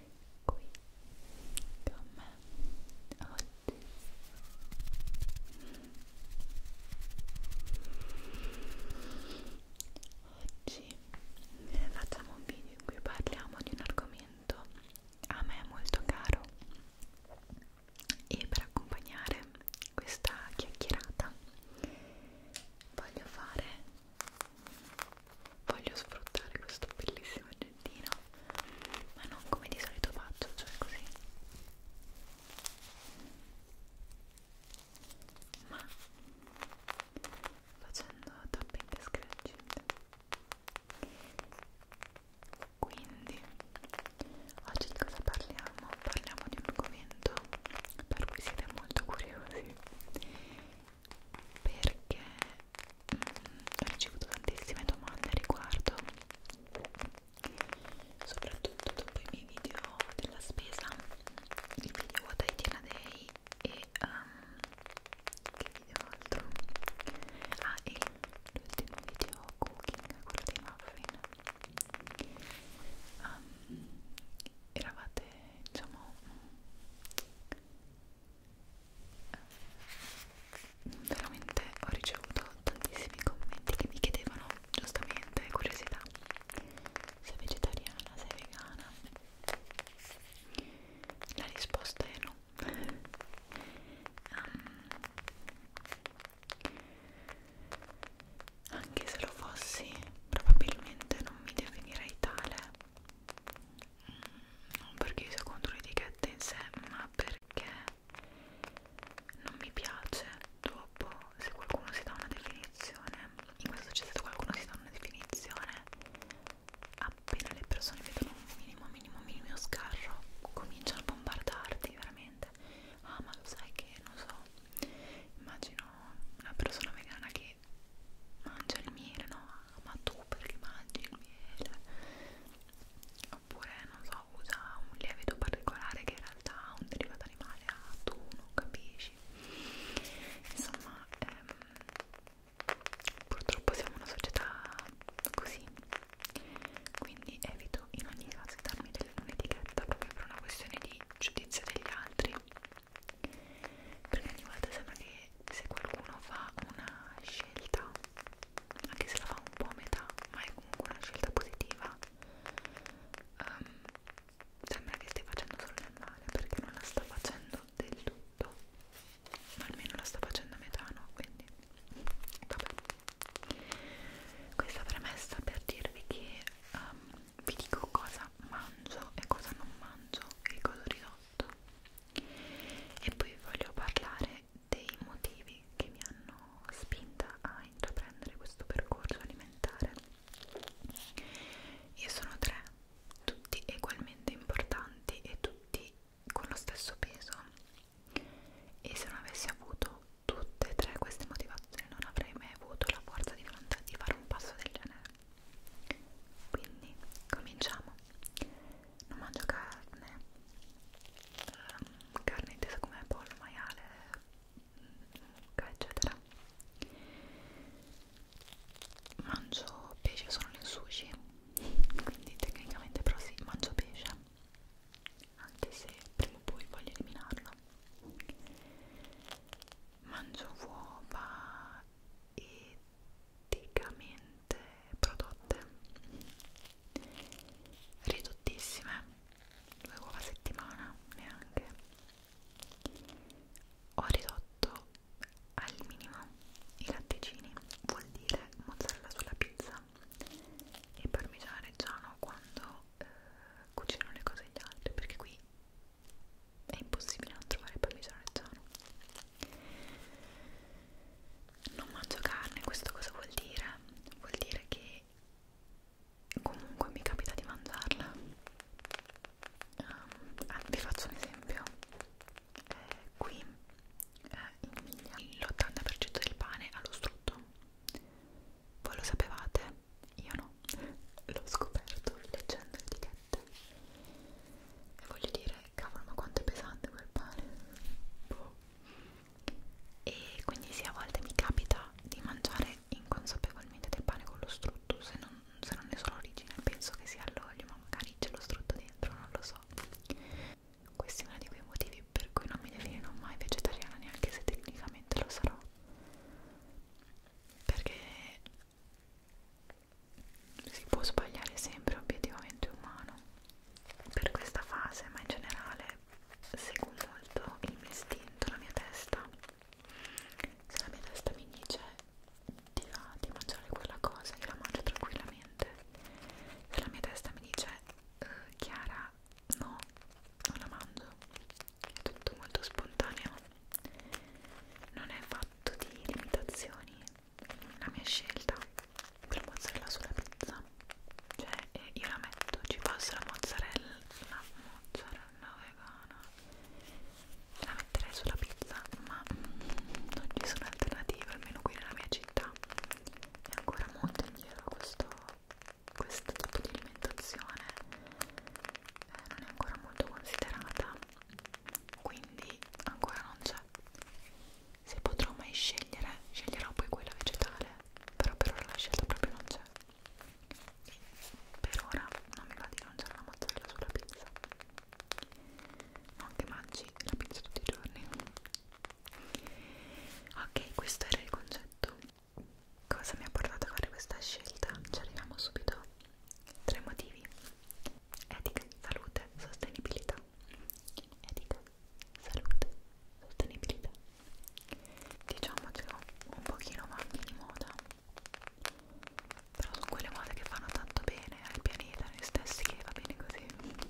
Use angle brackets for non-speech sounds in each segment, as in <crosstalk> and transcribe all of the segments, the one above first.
qui con me oggi oggi facciamo un video in cui parliamo di un argomento a me molto caro e per accompagnare questa chiacchierata voglio fare voglio sfruttare questo bellissimo oggettino ma non come di solito faccio cioè così ma facendo tapping e scratching quindi oggi di cosa parliamo? parliamo di un argomento per cui siete molto curiosi perché mh, mm, ho ricevuto tantissime domande a riguardo soprattutto dopo i miei video della spesa il video What I Did Day e um, che video altro? ah e l'ultimo video cooking, quello dei muffin um, eravate diciamo veramente ho ricevuto tantissimi commenti che mi chiedevano giustamente curiosità sei vegetariana, sei vegana la risposta è no um, anche se lo fossi probabilmente non mi definirei tale non perché sia contro l'etichetta in sé ma perché non mi piace dopo se qualcuno si dà una definizione in questo c'è stato qualcuno si dà una definizione appena le persone vedono un minimo minimo minimo scarro cominciano a bombardarti veramente ah ma lo sai che non so immagino una persona vegana che mangia il miele no ma tu perché mangi il miele? Oppure, non so, usa un lievito particolare che in realtà un derivato animale ha, tu non capisci. Insomma, ehm, purtroppo siamo una società così, quindi evito in ogni caso di darmi un'etichetta proprio per una questione di giudizio degli altri perché ogni volta sembra che se qualcuno fa una scelta, anche se la fa un po' a metà, ma è comunque una scelta positiva, um, sembra che stia facendo solo del male perché non la sta facendo del tutto, ma almeno la sta facendo a metà, no? Quindi, vabbè. Questa premessa per dirvi che um, vi dico cosa mangio e cosa non mangio e cosa ridotto prodotto e poi voglio parlare dei motivi che mi hanno spinta a intraprendere questo percorso alimentare io sono tre tutti ugualmente importanti e tutti con lo stesso peso e se non avessi avuto tutte e tre queste motivazioni non avrei mai avuto la forza di volontà di fare un passo del genere quindi cominciamo non mangio carne um, carne intesa come pollo, maiale eccetera mangio pesce solo nel sushi quindi tecnicamente però sì, mangio pesce anche se prima o poi voglio eliminarlo mangio uova e praticamente prodotte ridottissime due uova a settimana neanche ho ridotto al minimo i latticini vuol dire mozzarella sulla pizza e parmigiano reggiano quando eh, cucino le cose agli altri perché qui è impossibile non trovare parmigiano reggiano non mangio carne, questo cosa vuol dire? Vuol dire che comunque mi capita di mangiarla. Um, ah, vi faccio un esempio. Eh, qui eh, in Emilia l'80% del pane ha lo strutto. Voi lo sapevate? Io no. L'ho scoperto leggendo le etichette. E voglio dire, cavolo ma quanto è pesante quel pane boh. e quindi sì a volte mi capita di mangiare inconsapevolmente del pane con lo strutto se non, se non ne so l'origine penso che sia all'olio ma magari c'è lo strutto dentro non lo so questo è uno di quei motivi per cui non mi definirò mai vegetariana neanche se tecnicamente lo sarò perché si può sbagliare sempre obiettivamente umano per questa fase ma in generale seguo molto il mio istinto la mia testa se la mia testa mi dice di, là, di mangiare quella cosa io la mangio tranquillamente se la mia testa mi dice uh, Chiara no non la mangio è tutto molto spontaneo non è fatto di limitazioni la mia scelta per mozzarella sulla pizza cioè eh, io la metto ci posso la mozzarella la mozzarella vegana la metterei sulla pizza ma mm, non ci sono alternative almeno qui nella mia città è ancora molto indietro questo questo tipo di alimentazione eh, non è ancora molto considerata quindi ancora non c'è se potrò mai scegliere sceglierò poi quella vegetale però per ora la scelta proprio non c'è e per ora non mi va di mangiare la mozzarella sulla pizza non che mangi la pizza tutti i giorni ok questo era il concetto cosa mi ha portato a fare questa scelta ci arriviamo subito tre motivi Etica, salute, sostenibilità. Etica, salute, sostenibilità. Diciamocelo un pochino ma di moda. Però sono quelle mode che fanno tanto bene al pianeta, noi stessi che va bene così. Um,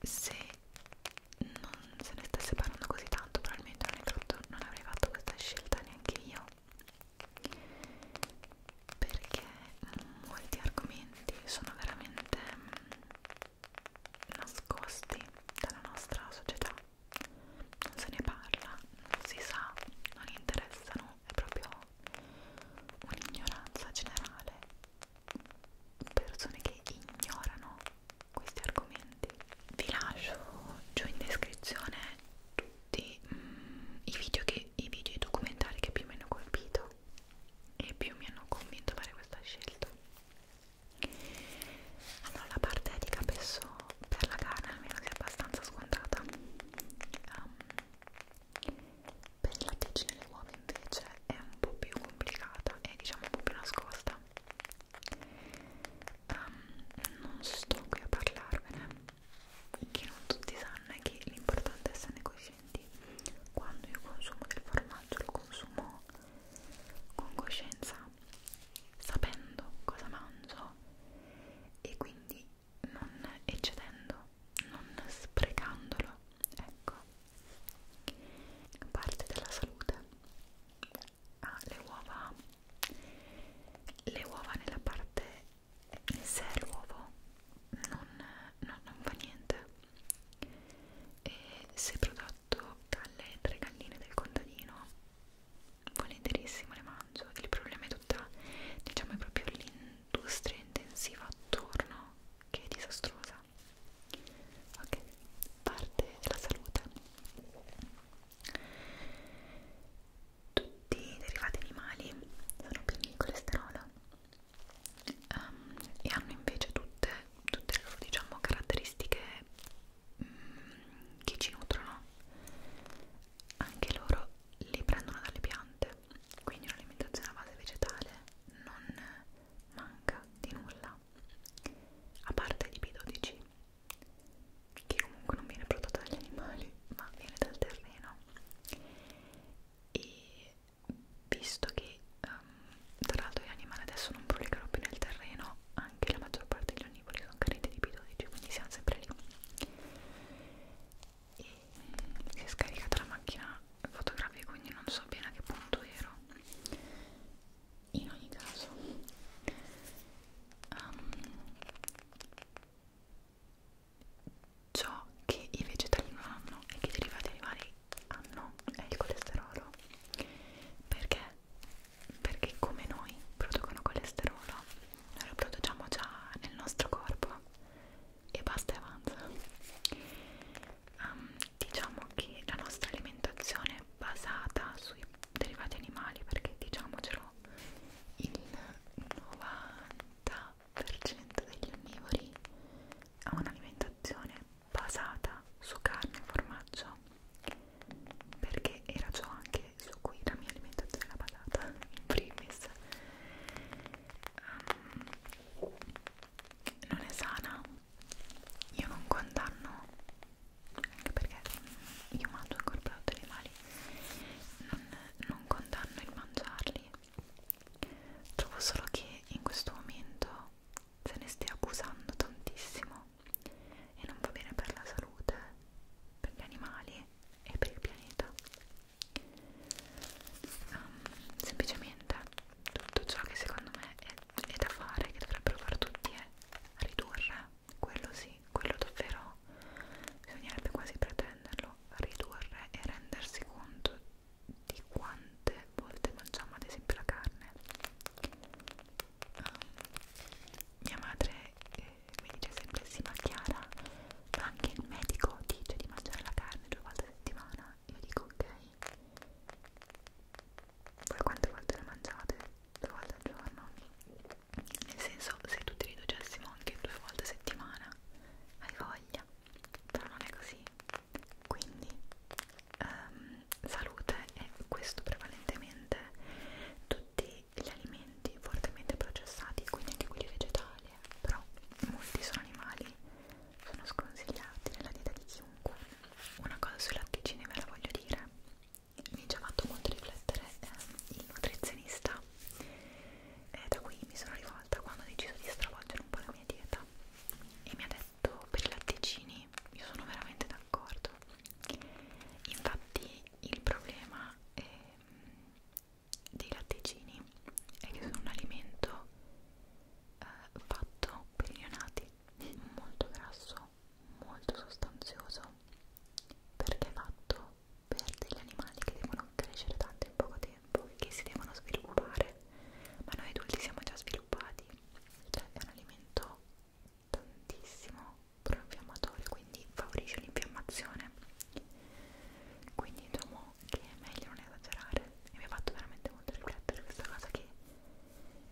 e se non se ne stesse parlando così tanto probabilmente non, fatto, non avrei fatto questa scelta neanche io perché molti argomenti sono veramente mm, nascosti dalla nostra società non se ne parla, non si sa, non interessano è proprio un'ignoranza generale persone che ignorano questi argomenti. Vi lascio giù in descrizione tutti mm, i video che i video i documentari che più mi hanno colpito e più mi hanno convinto a fare questa scelta. Allora la parte etica penso per la carne almeno sia abbastanza scontata. Um, ehm, per il latticino e le uova invece è un po' più complicata e diciamo un po' più nascosta um, non sto qui a parlarvene che non tutti sanno è che l'importante è esserne coscienti quando io consumo del formaggio lo consumo con coscienza sapendo cosa mangio e quindi non eccedendo non sprecandolo ecco parte della salute ha ah, le uova le uova nella parte in sé l'uovo non, no, non fa niente e se prodotto dalle tre galline del contadino volentierissimo le mangio il problema è tutta diciamo è proprio l'industria intensiva attorno che è disastrosa ok parte della salute tutti i derivati animali sono pieni di colesterolo um, ehm, e hanno invece tutte, tutte le loro diciamo, caratteristiche mm, che ci nutrono. Anche loro li prendono dalle piante, quindi un'alimentazione a base vegetale non manca di nulla, a parte di B12 che comunque non viene prodotto dagli animali ma viene dal terreno e visto che um, tra l'altro gli animali adesso non prolifero più nel terreno anche la maggior parte degli onnivori sono carenti di B12 quindi siamo sempre lì e si è scaricata la macchina fotografica quindi non so bene a che punto ero in ogni caso um, ciò che i vegetali non hanno e che i derivati animali hanno è il colesterolo perché? perché come noi producono colesterolo noi lo produciamo già nel nostro corpo e basta e avanza um, diciamo che la nostra alimentazione basata sui derivati animali perché diciamocelo il 90% degli onnivori ha un'alimentazione basata su carne e formaggio perché era ciò anche su cui la mia alimentazione era basata in primis um, non è sana io non condanno anche perché io mangio ancora prodotti animali non, non condanno il mangiarli trovo solo che in questo momento se ne stia abusando tantissimo e non va bene per la salute per gli animali e per il pianeta um, semplicemente tutto ciò che secondo me è è da fare, che dovrebbero fare tutti, è eh. ridurre, quello sì, quello davvero bisognerebbe quasi pretenderlo, ridurre e rendersi conto di quante volte mangiamo ad esempio la carne. Um, mia madre eh, mi dice sempre sì ma Chiara, ma anche il medico dice di mangiare la carne due volte a settimana, io dico ok voi quante volte le mangiate? Due volte al giorno? Nel senso, se tutti li docessimo anche due volte a settimana, hai voglia, però non è così. Quindi, um, salute è questo prevalentemente tutti gli alimenti fortemente processati, quindi anche quelli vegetali, eh. però molti sono animali, sono sconsigliati nella dieta di chiunque. Una cosa sui latticini ve la voglio dire, mi ha già fatto molto riflettere eh, il nutrizionista e da qui mi sono rivolta quando ho deciso di stravolgere un po' la mia dieta e mi ha detto per i latticini io sono veramente d'accordo infatti il problema è, ehm, dei latticini è che sono un alimento eh, fatto per i neonati molto grasso video molto sostanzioso perché è fatto per degli animali che devono crescere tanto in poco tempo che si devono sviluppare ma noi adulti siamo già sviluppati cioè è un alimento tantissimo proinfiammatorio quindi favorisce l'infiammazione quindi diciamo che è meglio non esagerare e mi ha fatto veramente molto riflettere questa cosa che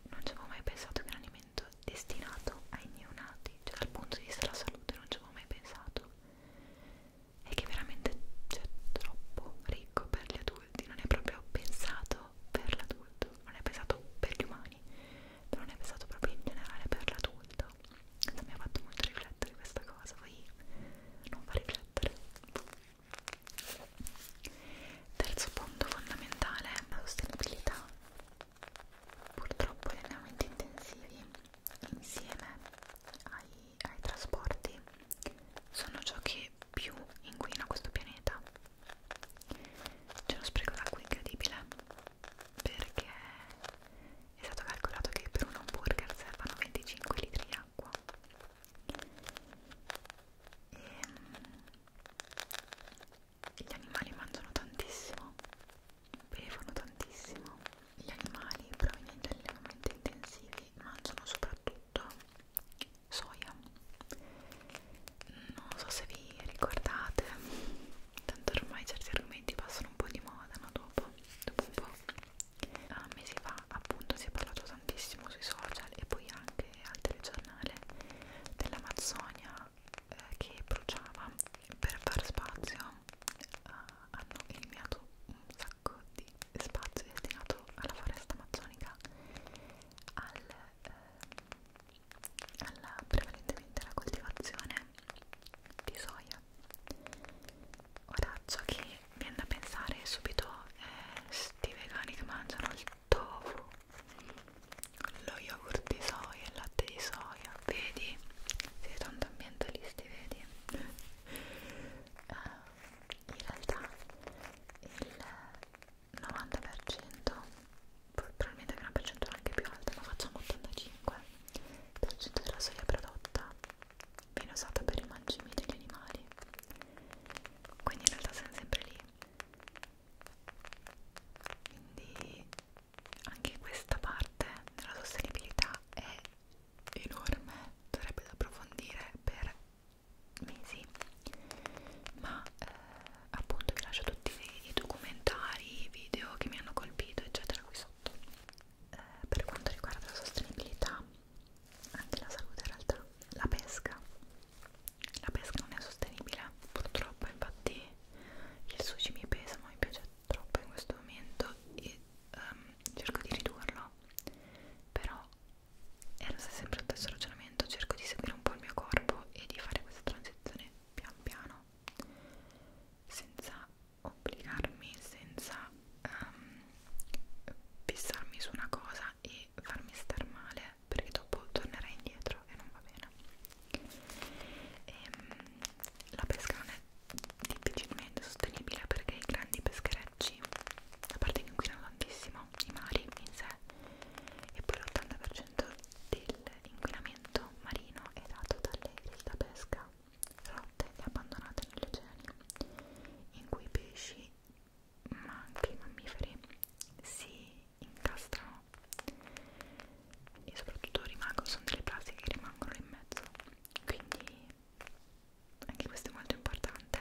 non ci avevo mai pensato che un alimento trattamento destinato ai neonati, cioè dal punto di vista della salute non ci avevo mai pensato, è che veramente cioè, troppo ricco per gli adulti, non è proprio pensato per l'adulto, non è pensato per gli umani, però non è pensato proprio in generale per l'adulto. Mi ha fatto molto riflettere questa cosa, voi non fa riflettere. Terzo punto fondamentale è la sostenibilità. Purtroppo gli allenamenti intensivi insieme ai, ai trasporti sono ciò che più inquina questo pianeta. C'è uno spreco d'acqua incredibile perché è stato calcolato che per un hamburger servano 25 litri di acqua. E ehm, gli animali mangiano tantissimo, bevono tantissimo. Gli animali provenienti da allevamenti intensivi mangiano soprattutto soia. Non so se vi ricordate, tanto ormai certi argomenti passano un po' di moda, no? Dopo, dopo un po'. A mesi fa, appunto, si è parlato tantissimo sui social e poi anche al telegiornale dell'Amazzonia eh, che bruciava per far spazio eh, hanno eliminato un sacco di spazio destinato alla foresta amazzonica al, eh, alla prevalentemente alla coltivazione di soia ora ciò che viene da pensare subito è sti vegani che mangiano il tofu lo yogurt di soia, il latte di soia, vedi? Siete tanto ambientalisti, vedi? uh, in realtà il 90%, probabilmente che una percentuale anche più alta, ma facciamo 85% della soia prodotta viene usata per i mangimi degli animali quindi in realtà siamo sempre lì quindi anche questa parte della sostenibilità è enorme sarebbe da approfondire per mesi ma eh, appunto vi lascio tutti i, i documentari i video che mi hanno colpito eccetera qui sotto eh, per quanto riguarda la sostenibilità anche la salute in realtà la pesca la pesca non è sostenibile purtroppo infatti il sushi mi pesa ma mi piace troppo in questo momento e um, cerco di ridurlo però è lo sempre lo stesso ragionamento cerco di seguire un po' il mio corpo e di fare questa transizione pian piano senza obbligarmi senza um, fissarmi su una cosa e farmi star male perché dopo tornerai indietro e non va bene e, ehm, la pesca non è difficilmente sostenibile perché i grandi pescherecci a parte che inquinano tantissimo i mari in sé e poi l'80% dell'inquinamento marino è dato dalle da pesca rotte e abbandonate negli oceani in cui i pesci ma anche i mammiferi si incastrano e soprattutto rimangono, sono delle plastiche che rimangono in mezzo quindi anche questo è molto importante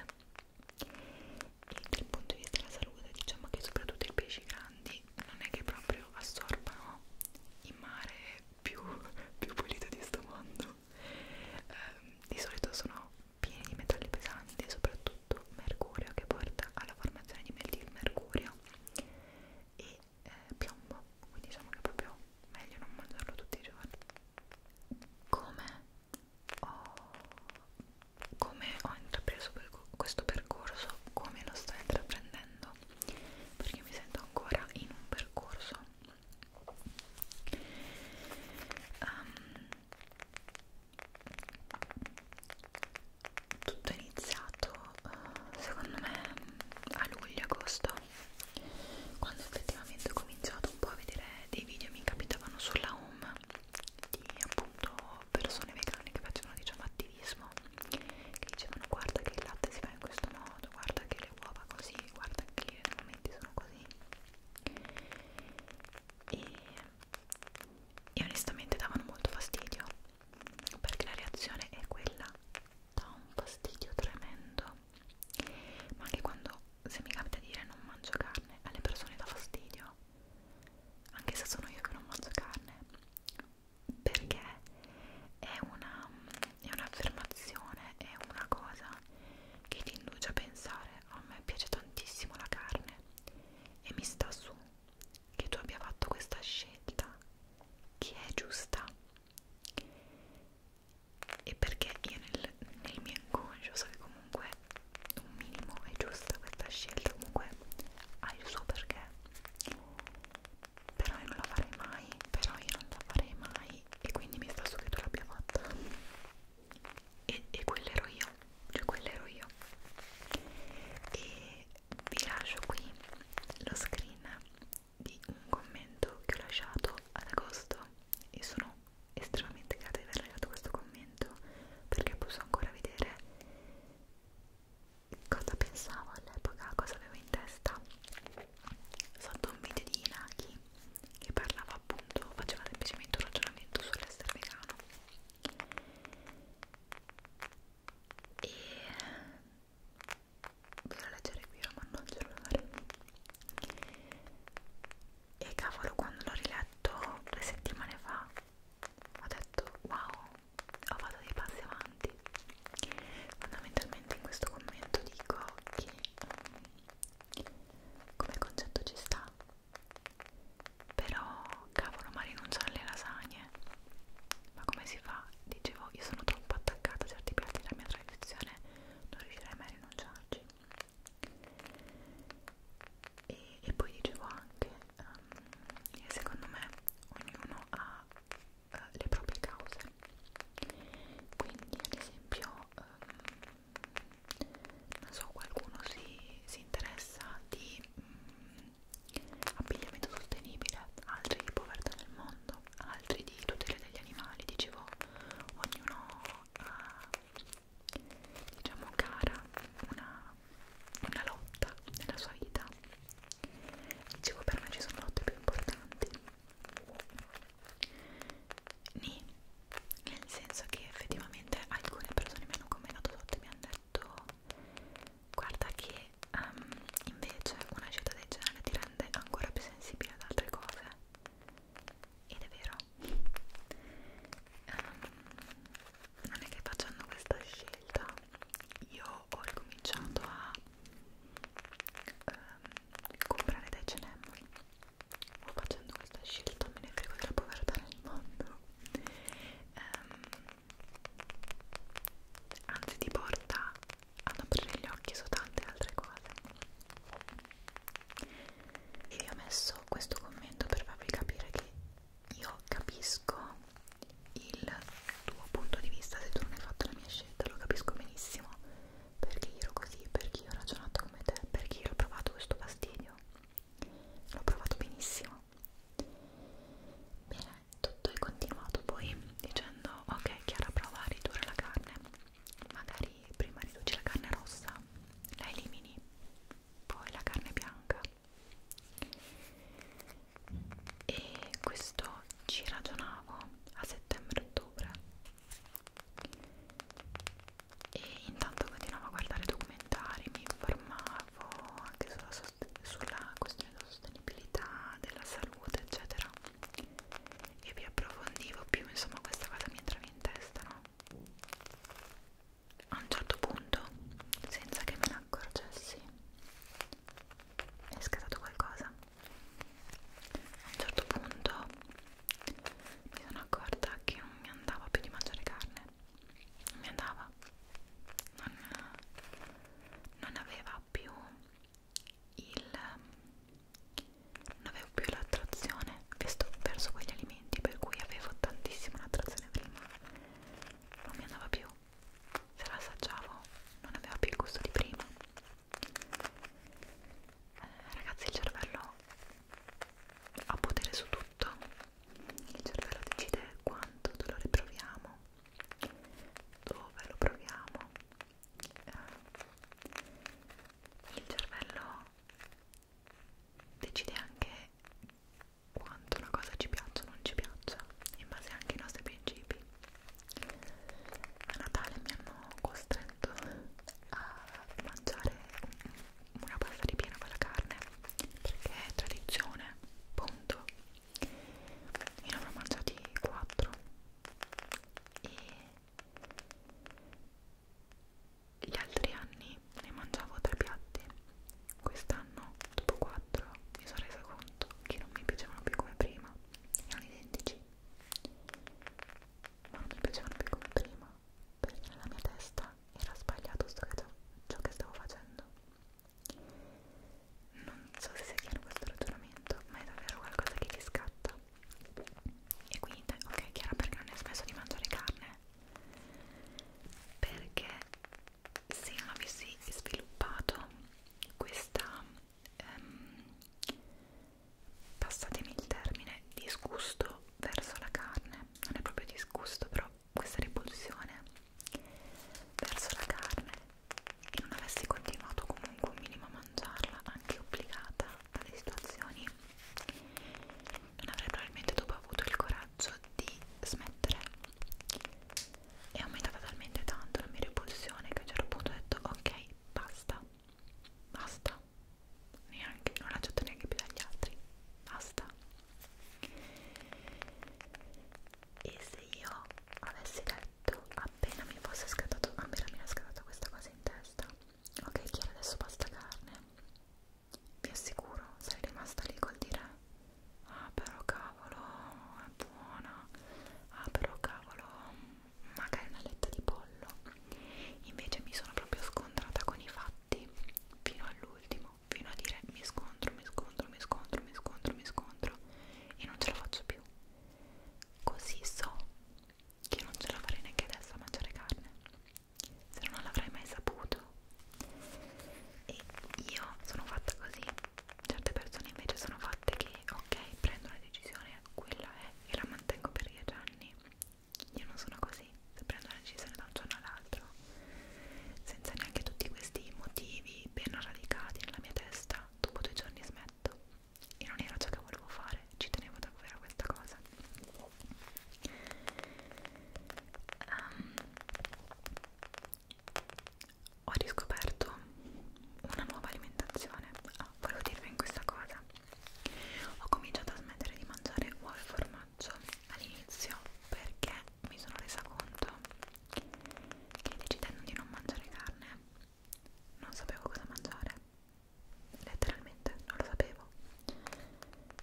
e dal punto di vista della salute diciamo che soprattutto i pesci grandi non è che proprio assorbano il mare più, <laughs> più pulito di sto mondo eh, di solito sono pieni di metalli pesanti, soprattutto mercurio che porta alla formazione di metilmercurio e eh, piombo, quindi diciamo che è proprio meglio non mangiarlo tutti i giorni. Come ho, come ho intrapreso questo percorso, come lo sto intraprendendo, perché mi sento ancora in un percorso. Um, tutto è iniziato uh, secondo me a luglio agosto quando effettivamente ho cominciato un po' a vedere dei video mi capitavano sulla home di appunto persone vegane che facevano diciamo attivismo che dicevano guarda che il latte si fa in questo modo guarda che le uova così guarda che gli momenti sono così e e onestamente davano molto fastidio perché la reazione è quella dà un fastidio tremendo ma anche quando se mi capita dire non mangio carne alle persone dà fastidio anche se sono io che non mangio carne perché è una è un'affermazione è una cosa che ti induce a pensare a me piace tantissimo la carne e mi sta su che tu abbia fatto questa scelta che è giusta e perché io nel, nel mio inconscio so che comunque un minimo è giusta questa scelta comunque ha il suo perché però io non la farei mai però io non la farei mai e quindi mi sta su che tu l'abbia fatta e, e quello ero io, cioè quello ero io e vi lascio qui lo screen di un commento che ho lasciato ad agosto e sono estremamente grata di aver lasciato questo commento perché posso ancora vedere cosa pensavo all'epoca, cosa avevo in testa sotto un video di Inaki che parlava appunto, faceva semplicemente un ragionamento sull'essere vegano e eh, voglio leggere qui ma non il cellulare e cavolo quando l'ho riletto due settimane fa ho detto wow ho fatto dei passi avanti fondamentalmente in questo commento dico che um, come concetto ci sta però, cavolo, ma rinunciare alle lasagne. Ma come si fa? Dicevo, io sono troppo attaccata a certi piatti della mia tradizione, non riuscirei mai a rinunciarci. E, e poi dicevo anche, um, secondo me, ognuno ha uh, le proprie cause. Quindi, ad esempio, um, non so qualcuno si, si interessa di mh, mm, abbigliamento sostenibile altri di povertà nel mondo altri di tutela degli animali dicevo ognuno ha diciamo cara una, una lotta nella sua vita dicevo per me ci sono lotte più importanti Ni nel senso che effettivamente alcune persone mi hanno commentato sotto e mi hanno detto guarda che um, invece una scelta del genere ti rende ancora più sensibile ad altre cose ed è vero um, non è che facendo questa scelta io ho ricominciato a um, comprare dai cenemoli o facendo questa scelta me ne frego della povertà nel mondo nuovo um, ehm, anzi ti porta ad aprire gli occhi su tante altre cose e vi ho messo questo commento per farvi capire che io capisco il tuo punto di vista se tu non hai fatto la mia scelta lo capisco benissimo perché io ero così, perché io ho ragionato come te, perché io ho provato questo fastidio l'ho provato benissimo bene, tutto è continuato poi dicendo ok Chiara prova a ridurre la carne magari prima riduci la carne rossa la elimini poi la carne bianca e questo ci ragionavo a settembre-ottobre e intanto continuavo a guardare documentari, mi informavo anche sulla, sulla questione della sostenibilità, della salute, eccetera. E vi approfondivo più, insomma, questa cosa mi entrava in testa, no? A un certo punto, senza che me ne accorgessi, è scattato qualcosa. A un certo punto mi sono accorta che non mi andava più di mangiare carne mi andava non, non aveva più il non avevo più l'attrazione verso quegli alimenti per cui avevo tantissima l'attrazione prima non mi andava più se la assaggiavo non aveva più il gusto di prima eh, ragazzi il cervello ha potere su tutto il cervello decide quanto dolore proviamo, dove lo proviamo. Eh, il cervello decide anche quanto una cosa ci piaccia o non ci piaccia, in base anche ai nostri principi. A Natale mi hanno costretto a mangiare un una pasta di ripiena con la carne perché è tradizione, punto io ne avrò mangiati 4 e gli altri anni ne mangiavo 3 piatti quest'anno dopo 4 mi sono resa conto che non mi piacevano più come prima erano identici ma non mi piacevano più come prima perché nella mia testa era sbagliato ciò che stavo facendo. Non so se sia chiaro questo ragionamento, ma è davvero qualcosa che ti scatta. E quindi, ok, è chiaro perché non hai smesso di mangiare carne? Perché se non avessi sviluppato questa, ehm, passatemi il termine, disgusto verso la carne, non è proprio disgusto, però questa repulsione verso la carne e non avessi continuato comunque un minimo a mangiarla, anche obbligata dalle situazioni, non avrei probabilmente dopo avuto il coraggio di smettere. È aumentata talmente tanto la mia repulsione che a un certo punto ho detto ok, basta, basta neanche, non l'accetto neanche più dagli altri, basta. E se io avessi detto appena mi fosse scattato, appena mi era scattata questa cosa in testa, ok Chiara adesso basta carne, vi assicuro sarei rimasta lì col dire ah però cavolo è buona, ah però cavolo magari una letta di pollo, invece mi sono proprio scontrata con i fatti tutti fino all'ultimo, fino a dire mi scontro, mi scontro, mi scontro, mi scontro, mi scontro e non ce la faccio più. Così so che non ce la farei neanche adesso a mangiare carne, se no non l'avrei mai saputo. E io sono fatta così, certe persone invece sono fatte che ok, prendo una decisione, quella è e la mantengo per 10 anni io non sono così, se prendo una decisione da un giorno all'altro, senza neanche tutti questi motivi ben radicati nella mia testa, dopo due giorni smetto. E non era ciò che volevo fare, ci tenevo davvero a questa cosa. Um, ho riscoperto una nuova alimentazione. Ah, volevo dirvi in questa cosa. Ho cominciato a smettere di mangiare uova e formaggio all'inizio all'inizio perché mi sono resa conto che decidendo di non mangiare carne non sapevo cosa mangiare letteralmente non lo sapevo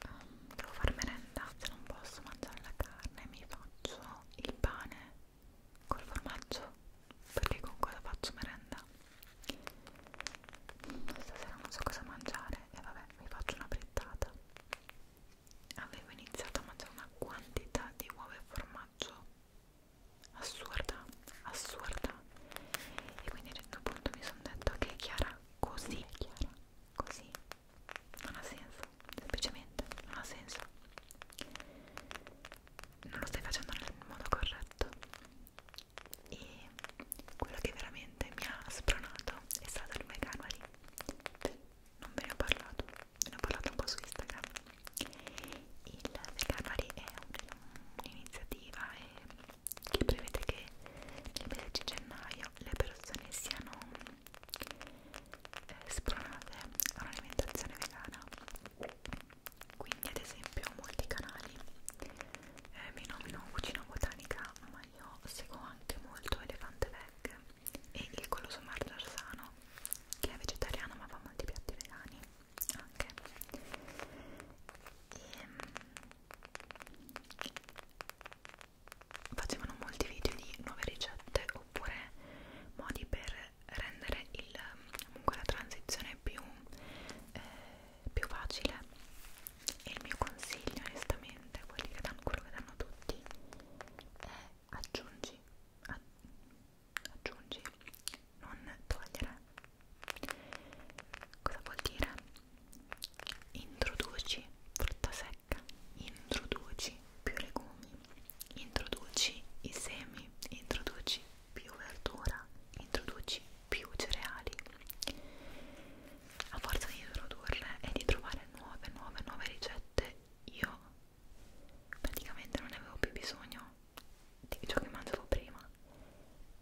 um, devo far merenda se non posso mangiare la carne mi faccio il pane col formaggio perché con cosa faccio merenda stasera non so cosa mangiare e vabbè mi faccio una frittata avevo iniziato a mangiare una quantità di uova e formaggio assurda assurda e quindi a un certo punto mi sono detto che Chiara così Chiara così non ha senso semplicemente non ha senso non lo stai facendo nel modo corretto e quello che veramente mi ha spronato è stato il Meganwari non ve ne ho parlato ne ho parlato un po' su Instagram il Meganwari è un'iniziativa un che prevede che nel mese di gennaio le persone siano eh, spronate a un'alimentazione vegana quindi ad esempio molti canali eh, mi nomino cucina botanica ma ma io seguo anche molto Elefante Veg e il colosso margarsano che è vegetariano ma fa molti piatti vegani anche e, ehm, facevano molti video di nuove ricette oppure modi per rendere il, comunque la transizione più eh, più facile e il mio consiglio onestamente quelli che danno, quello che danno tutti è aggiungi a, aggiungi non togliere cosa vuol dire? introduci frutta secca introduci più legumi introduci i semi introduci più verdura introduci più cereali a forza di introdurle e di trovare nuove, nuove, nuove ricette, io praticamente non ne avevo più bisogno di ciò che mangiavo prima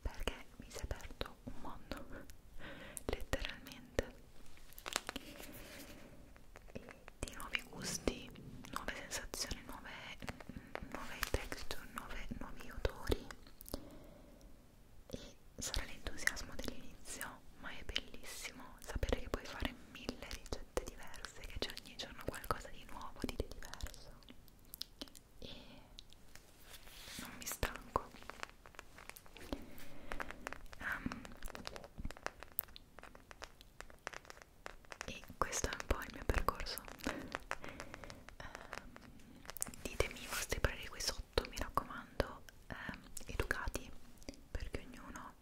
perché mi si è aperto un mondo <laughs> letteralmente e di nuovi gusti, nuove sensazioni, nuove, nuove texture, nuove, nuovi odori e sarà l'entusiasmo dell'inizio, ma è bellissimo sapere che puoi fare mille ricette diverse, che c'è ogni giorno qualcosa di nuovo, di diverso e non mi stanco. Um, e questo è un po' il mio percorso. Um, ditemi i vostri pareri qui sotto sotto mi raccomando eh, educati perché ognuno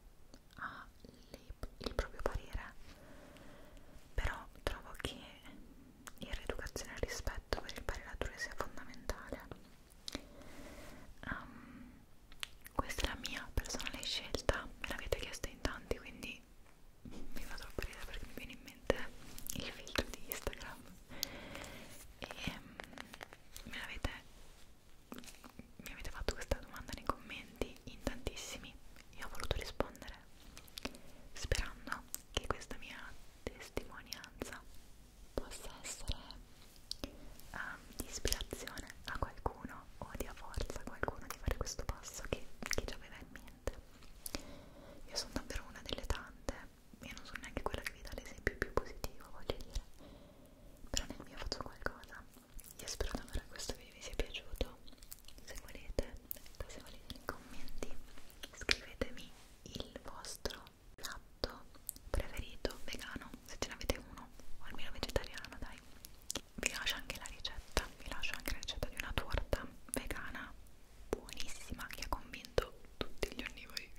ha il proprio parere però trovo che il reeducazione e il rispetto per il parere altrui sia fondamentale um, questa è la mia personale scelta me l'avete chiesta in tanti quindi mi fa troppo ridere perché mi viene in mente il filtro di Instagram e um, ehm, me avete mi avete fatto questa domanda nei commenti in tantissimi io ho voluto rispondere sperando che questa mia testimonianza possa essere um, di ispirazione a qualcuno o di a forza a qualcuno di fare questo passo che, che già aveva in mente io sono davvero una delle tante io non sono neanche quella che vi dà l'esempio più positivo, voglio dire, però nel mio faccio qualcosa. Io spero davvero che questo video vi sia piaciuto. Se volete, se volete nei commenti, scrivetemi il vostro piatto preferito vegano, se ce n'avete uno, o almeno vegetariano, dai. Vi lascio anche la ricetta, vi lascio anche la ricetta di una torta vegana buonissima che ha convinto tutti gli onnivori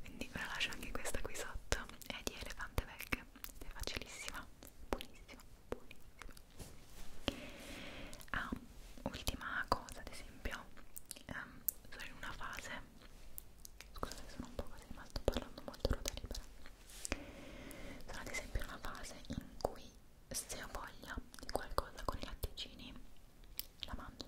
quindi ve la lascio anche questa qui sotto è di elefante vecchio è facilissima buonissima buonissima ah, ultima cosa ad esempio um, sono in una fase scusate sono un po' così ma sto parlando molto ruota libera sono ad esempio in una fase in cui se ho voglia di qualcosa con i latticini la mangio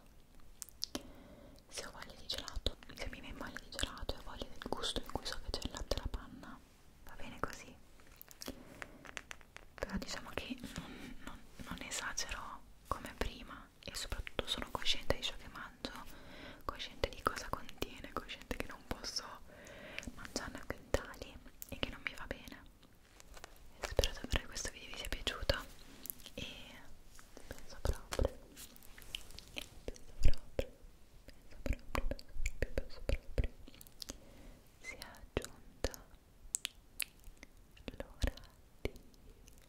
se ho voglia di gelato se mi viene voglia di gelato e ho voglia del gusto in cui so che c'è il latte alla panna va bene così però diciamo che non, non, non esagero come prima e soprattutto sono cosciente di ciò che mangio cosciente di cosa contiene cosciente che non posso mangiarne a quintali e che non mi va bene spero davvero che questo video vi sia piaciuto e penso proprio penso proprio penso proprio penso proprio penso proprio sia giunta l'ora di abbassare le luci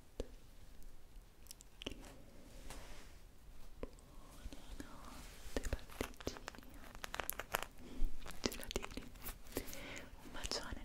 pasticcini gelatini un bacione